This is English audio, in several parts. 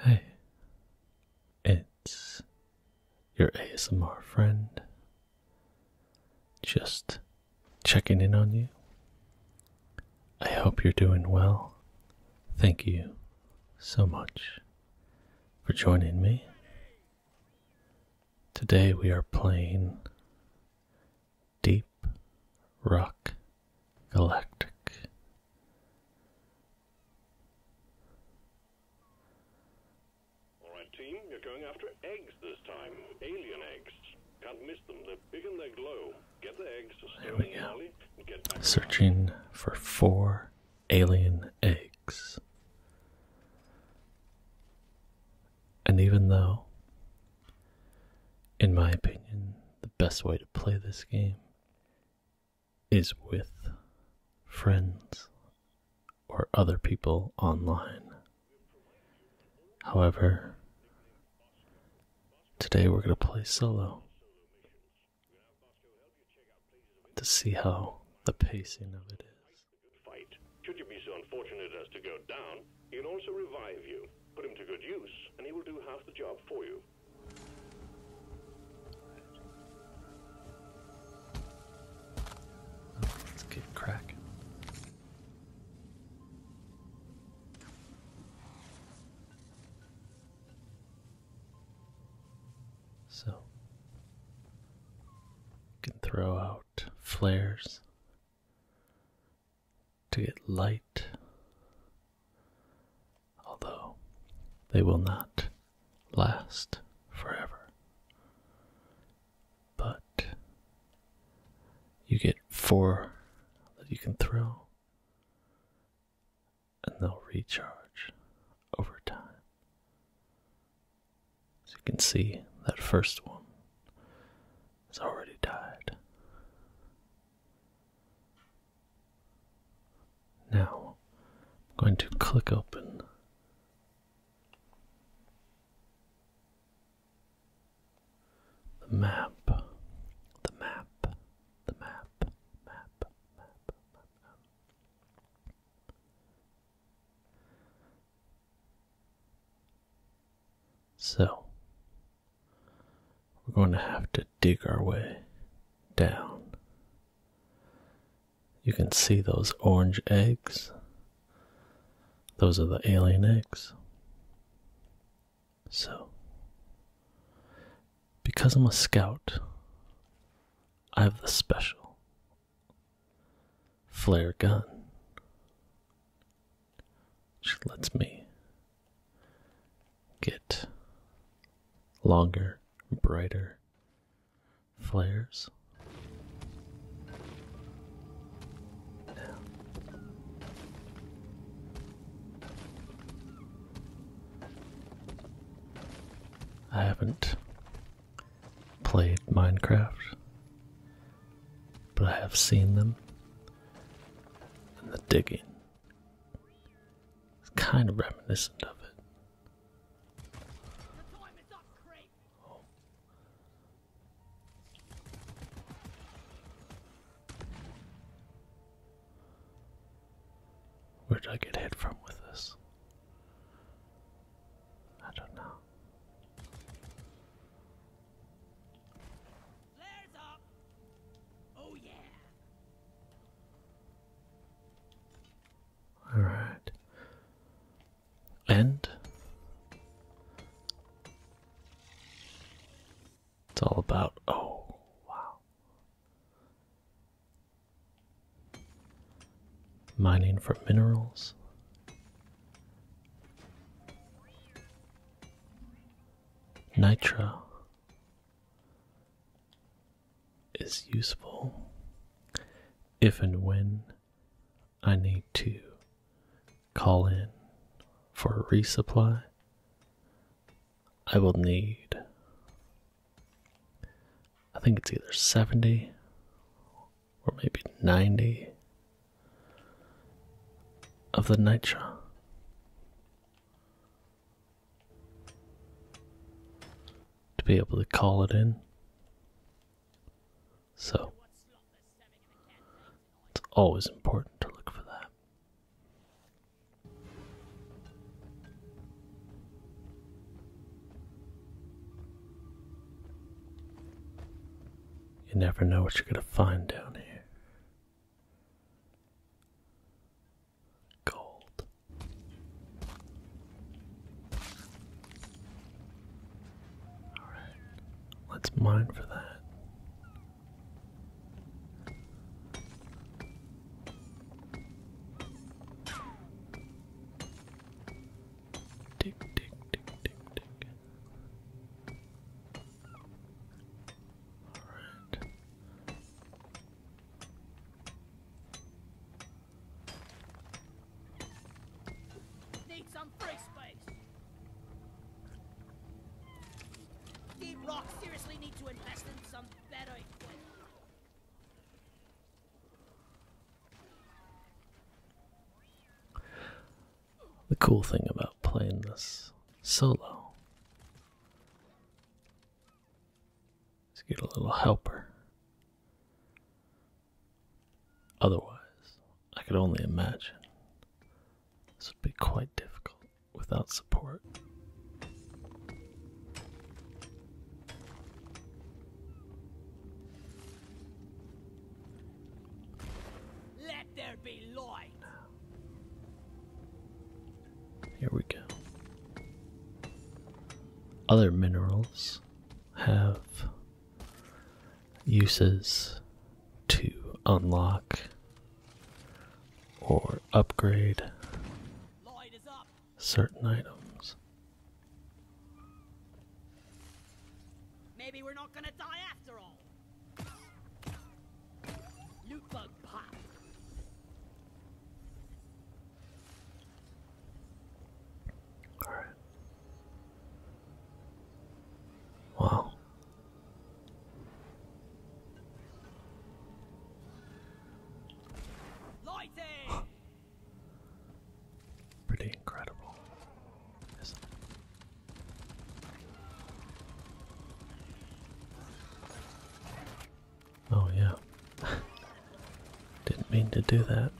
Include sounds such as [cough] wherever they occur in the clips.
Hey, it's your ASMR friend. Just checking in on you. I hope you're doing well. Thank you so much for joining me. Today we are playing Deep Rock Galactic. Alright, team, you're going after eggs this time. Alien eggs. Can't miss them, they're big and they glow. Get the eggs, there we go. Searching for four alien eggs. And even though, in my opinion, the best way to play this game is with friends or other people online. However, today we're going to play solo to see how the pacing of it is. Should you be so unfortunate as to go down, he can also revive you. Put him to good use, and he will do half the job for you let's get cracking. So, you can throw out flares to get light, although they will not last forever. But you get four that you can throw, and they'll recharge over time. As you can see, that first one has already died. Now, I'm going to click open. The map, the map, the map, map, map, map, So, we're going to have to dig our way down. You can see those orange eggs. Those are the alien eggs. So, because I'm a scout, I have the special flare gun. She lets me get longer, brighter flares. I haven't played Minecraft, but I have seen them and the digging. It's kind of reminiscent of it. Where did I get hit from with this? I don't know. Oh, Alright. And it's all about oh wow. Mining for minerals. Nitro is useful if and when I need to call in for resupply. I will need, I think it's either 70 or maybe 90 of the nature. To be able to call it in. So, it's always important to look for that. You never know what you're going to find down here. Gold. Alright, let's mine for that. Tick, tick, tick, tick, tick. All right. Need some free space. Deep Rock seriously need to invest in some better equipment the cool thing about playing this solo. is us get a little helper. Otherwise, I could only imagine this would be quite difficult without support. Let there be light. Here we go. Other minerals have uses to unlock or upgrade certain items. Maybe we're not gonna die after all. Loot pop. All right. Wow. Lighting. Pretty incredible, isn't it? Oh, yeah. [laughs] Didn't mean to do that.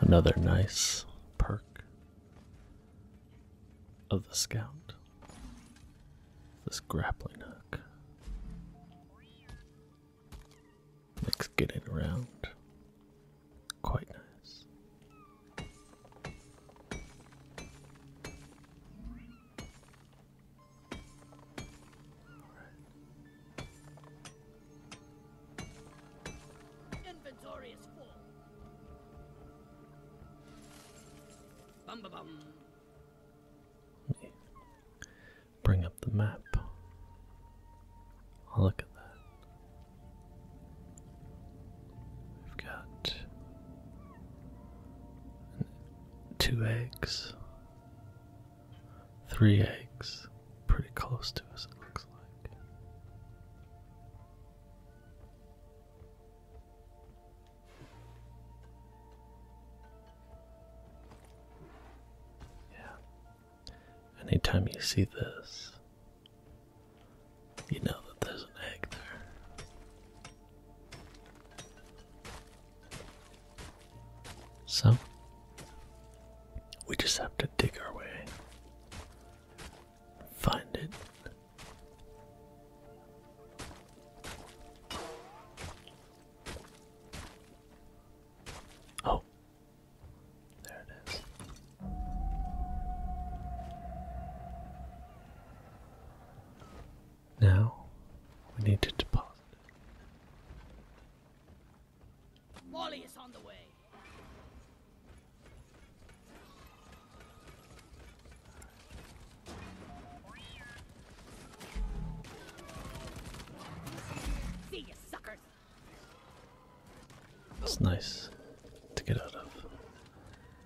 Another nice perk of the scout. This grappling hook. Let's get it around. Quite nice. Right. Inventory is full. Bum, bum, bum bring up the map. look at that. We've got two eggs, three eggs, pretty close to us, it looks like. Yeah, Anytime you see this, you know that there's an egg there. So, we just have to dig our way, find it. Oh, there it is. Now we need to deposit it. Molly is on the way. See you, suckers. It's nice to get out of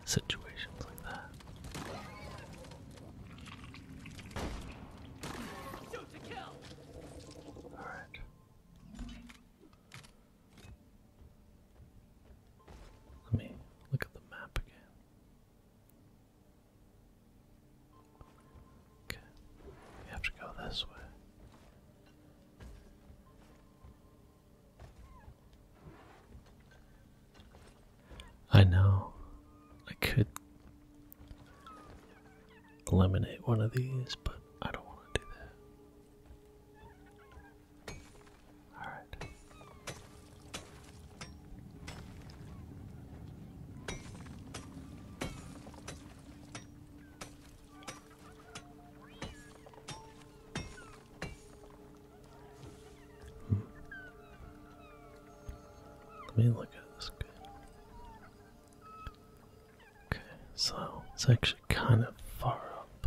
situations like that. Alright. Let me look at the map again. Okay, we have to go this way. I know I could eliminate one of these, but I don't want to do that. Alright. Hmm. Let me look at this guy. Okay, so it's actually kind of far up.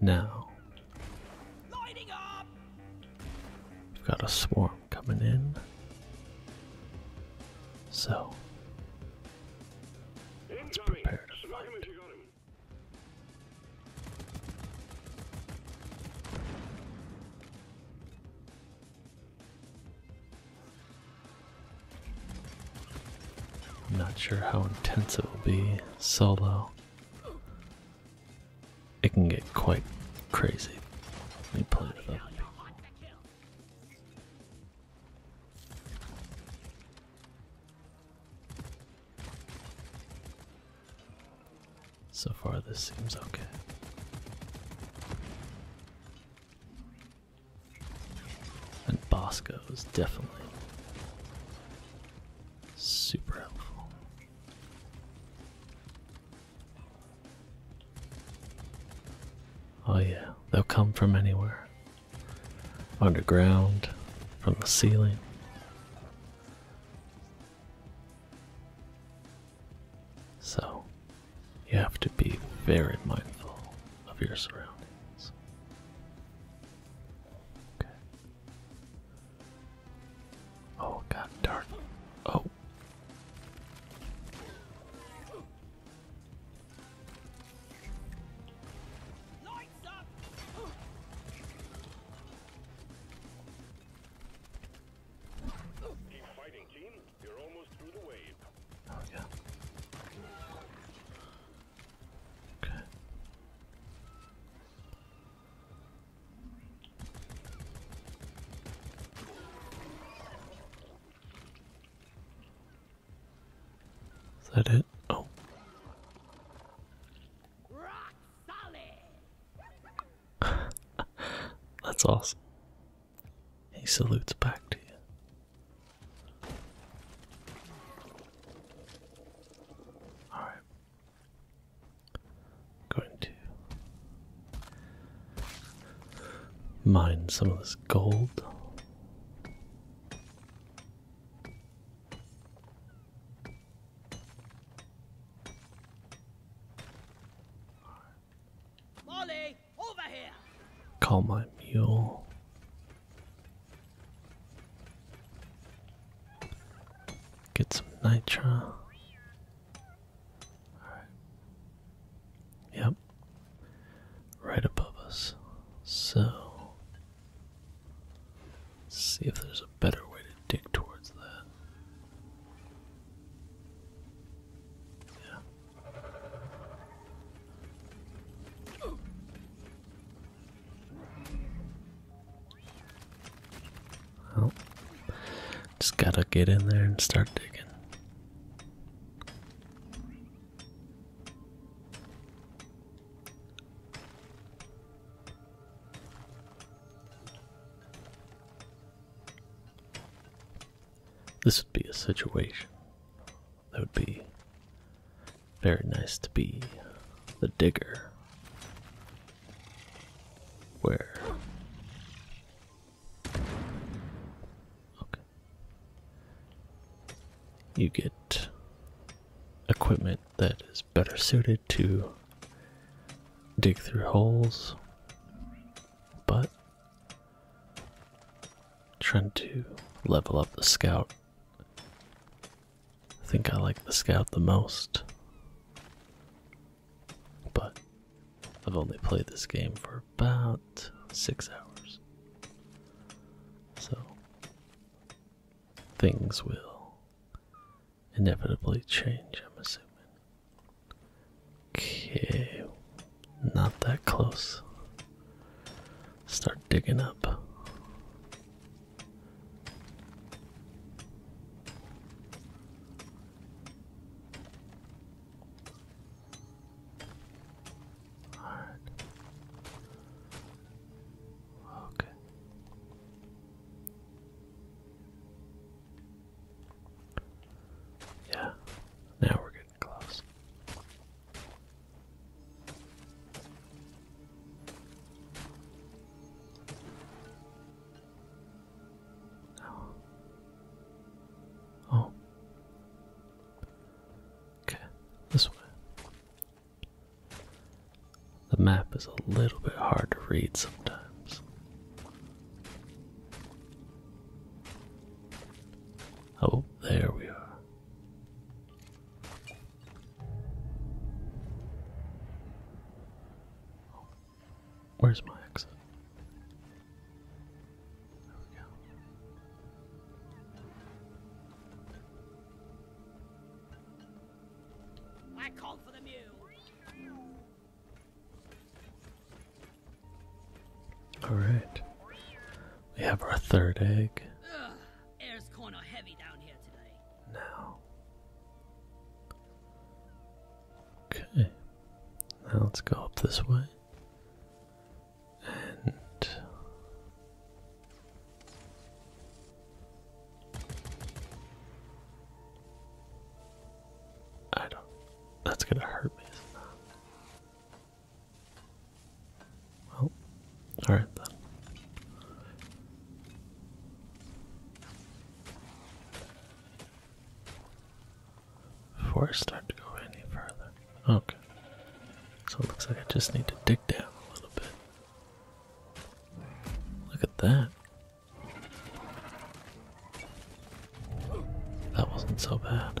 Now we've got a swarm coming in. So let's prepare to fight. not sure how intense it will be solo it can get quite crazy. Let me pull it up. So far, this seems okay. And Bosco is definitely Super helpful. Oh, yeah, they'll come from anywhere underground, from the ceiling. So, you have to be very mindful of your surroundings. Okay. Oh god darn. Oh. Lights up. Keep fighting team, you're almost through the wave. Oh yeah. Is that it? Oh. [laughs] That's awesome. He salutes back to you. All right, Going to mine some of this gold. Molly, over here. Call my mule. Get some nitro. All right. Yep. Right above us. So see if there's a better way to dig towards that. Yeah. Well, just gotta get in there and start digging. This would be a situation that would be very nice to be the digger. Where? Okay. You get equipment that is better suited to dig through holes, but trying to level up the scout I think I like the scout the most. But I've only played this game for about six hours. So things will inevitably change, I'm assuming. Okay, not that close. Start digging up. All right. Okay. Yeah, now we're getting close. Oh. Oh. Okay, this way. The map is a little bit hard to read sometimes. Oh, there we are where's my exit? There we go. I called for the mule. All right. We have our third egg. Air's kind of heavy down here today. Now. Okay. Now let's go up this way. And I don't. That's gonna hurt me. Well, all right then. Before I start to go any further, okay. So it looks like I just need to dig down a little bit. Look at that. That wasn't so bad.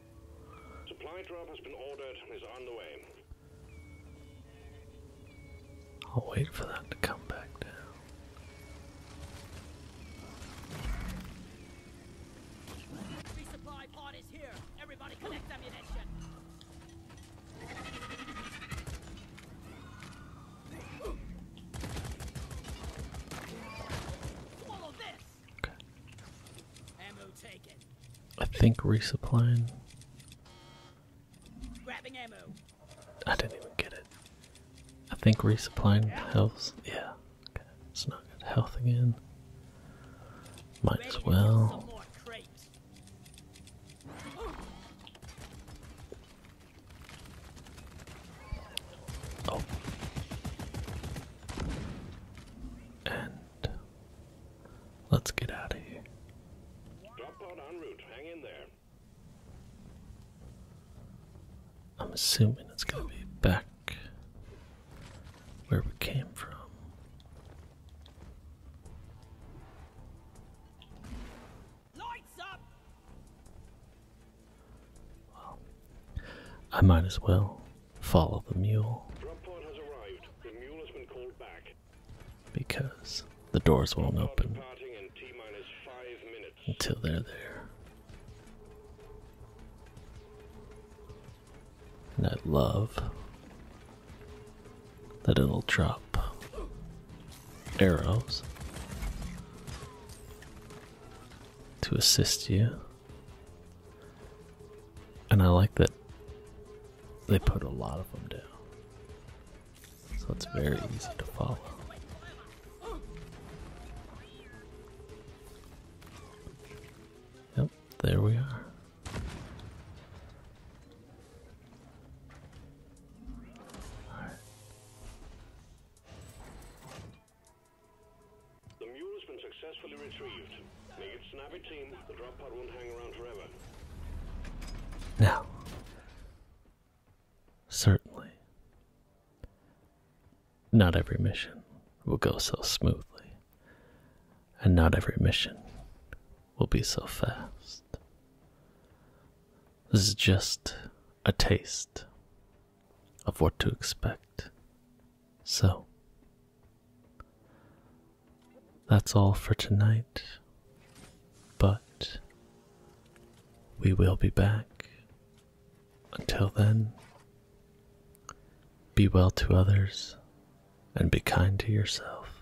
Supply drop has been ordered and is underway. I'll wait for that to come back down. Resupply pod is here. Everybody collect ammunition. Swallow this. I think resupplying. Grabbing ammo. I didn't even get it. I think resupplying health. Yeah. Okay. It's not good. Health again. Might as well. Oh. And Let's get out of here. I'm assuming it's gonna be back where we came from. I might as well follow the mule. Because the doors won't open until they're there. And I love that it'll drop arrows to assist you and I like that they put a lot of them down. So it's very easy to follow. Yep, there we are. The mule's been successfully retrieved. Make it snappy, team. The drop pod won't hang around forever. Now, certainly, not every mission will go so smoothly, and not every mission will be so fast. This is just a taste of what to expect so, that's all for tonight, but we will be back. Until then, be well to others and be kind to yourself.